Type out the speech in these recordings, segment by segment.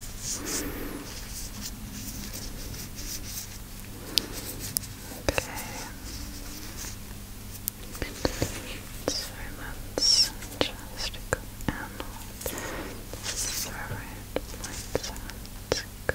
let's just go and this is our red point, so let's go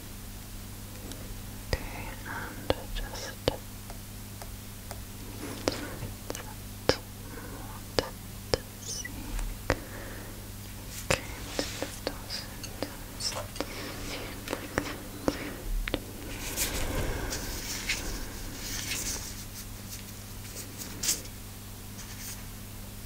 Okay, and just set more to see. Okay, just also just like Okay,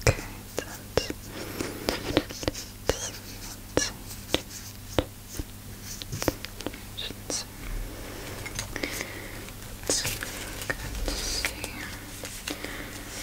Okay, that's Let's see. Let's see.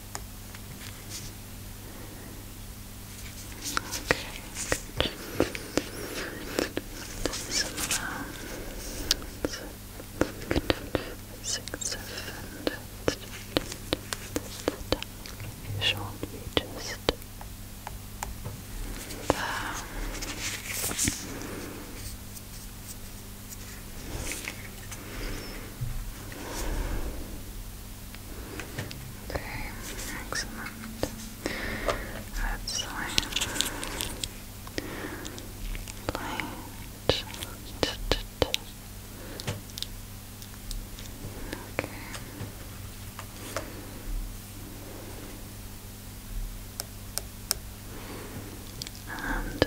Okay, good. Similar. we just Okay, excellent. That's light. Light. Okay. And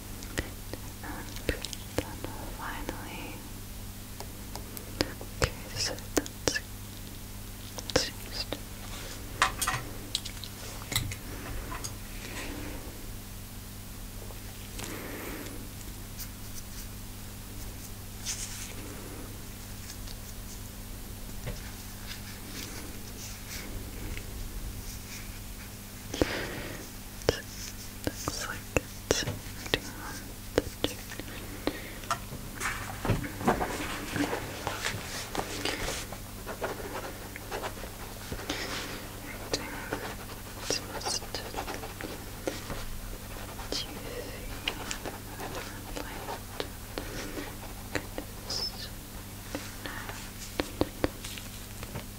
And then uh, finally, okay, so that's it's it looks like it's doing the chin. It's most juicy and light. Goodness. Now,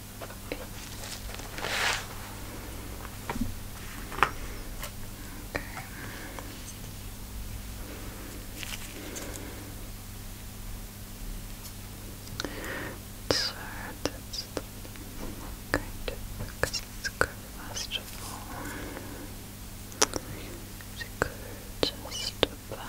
So that's going to fix this curve first of just about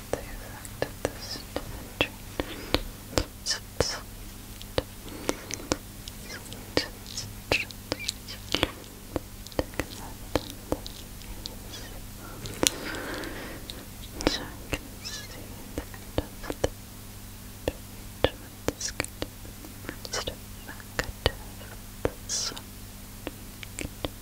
the effect of this so I can see the end of the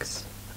Step that.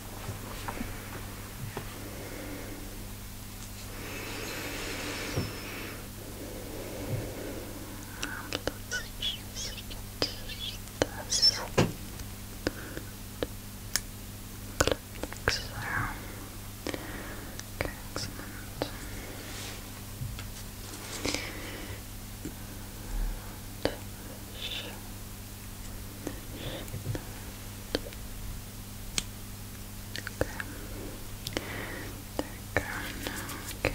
Let's just this click so. Okay, excellent. And Okay. There you go. Now I can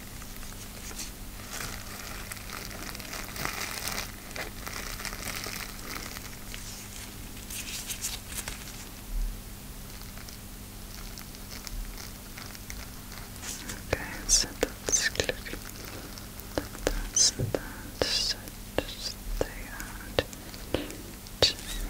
Okay, so that's good. That's that. So just stay out. Just there.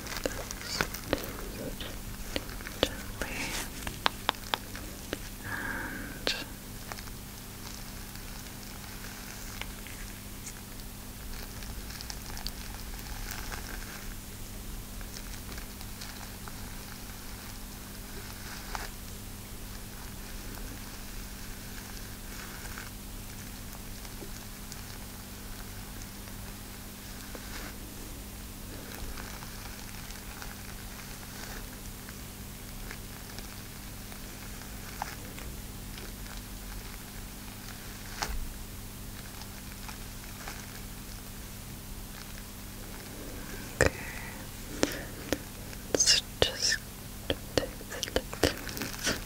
just gently and Okay. Let's just take the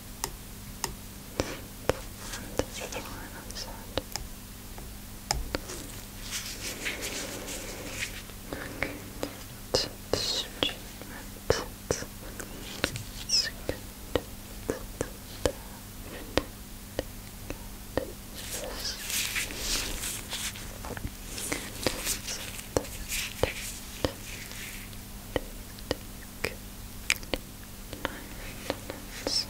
And this is the line outside. Okay, that's treatment. That's Let's, let's.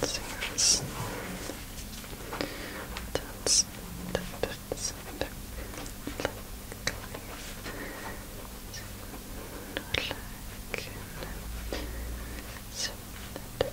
Let's see that's, that's, that's, like, like, so, that,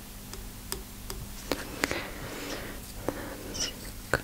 Let's look. Let's check over here.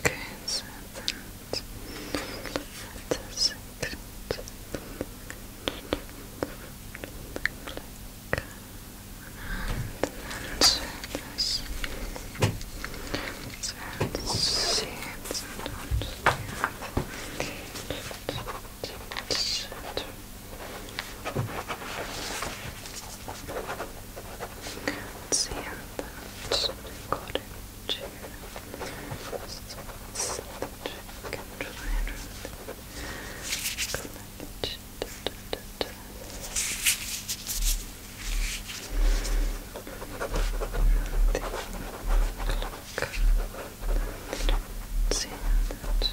Okay, so that, that's a secret. Click. And then so this. So this shapes and don't have. Okay. Let's see if that's recording too. So let's check and try connect. Clock. let that.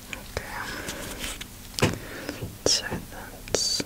Okay. So that's just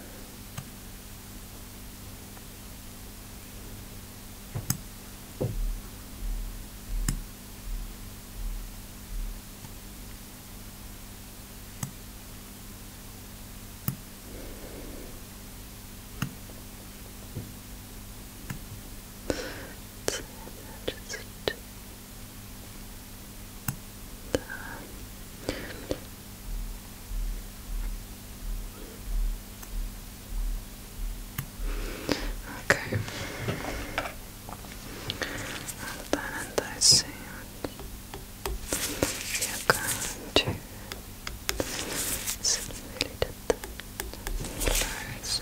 Okay. then I see you're going to really did that. First,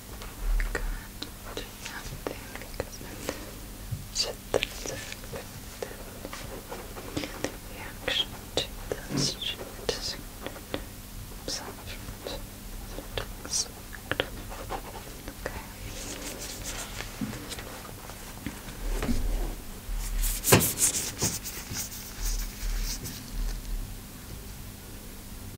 Good. Do because sit the reaction to this should disconnect himself Okay.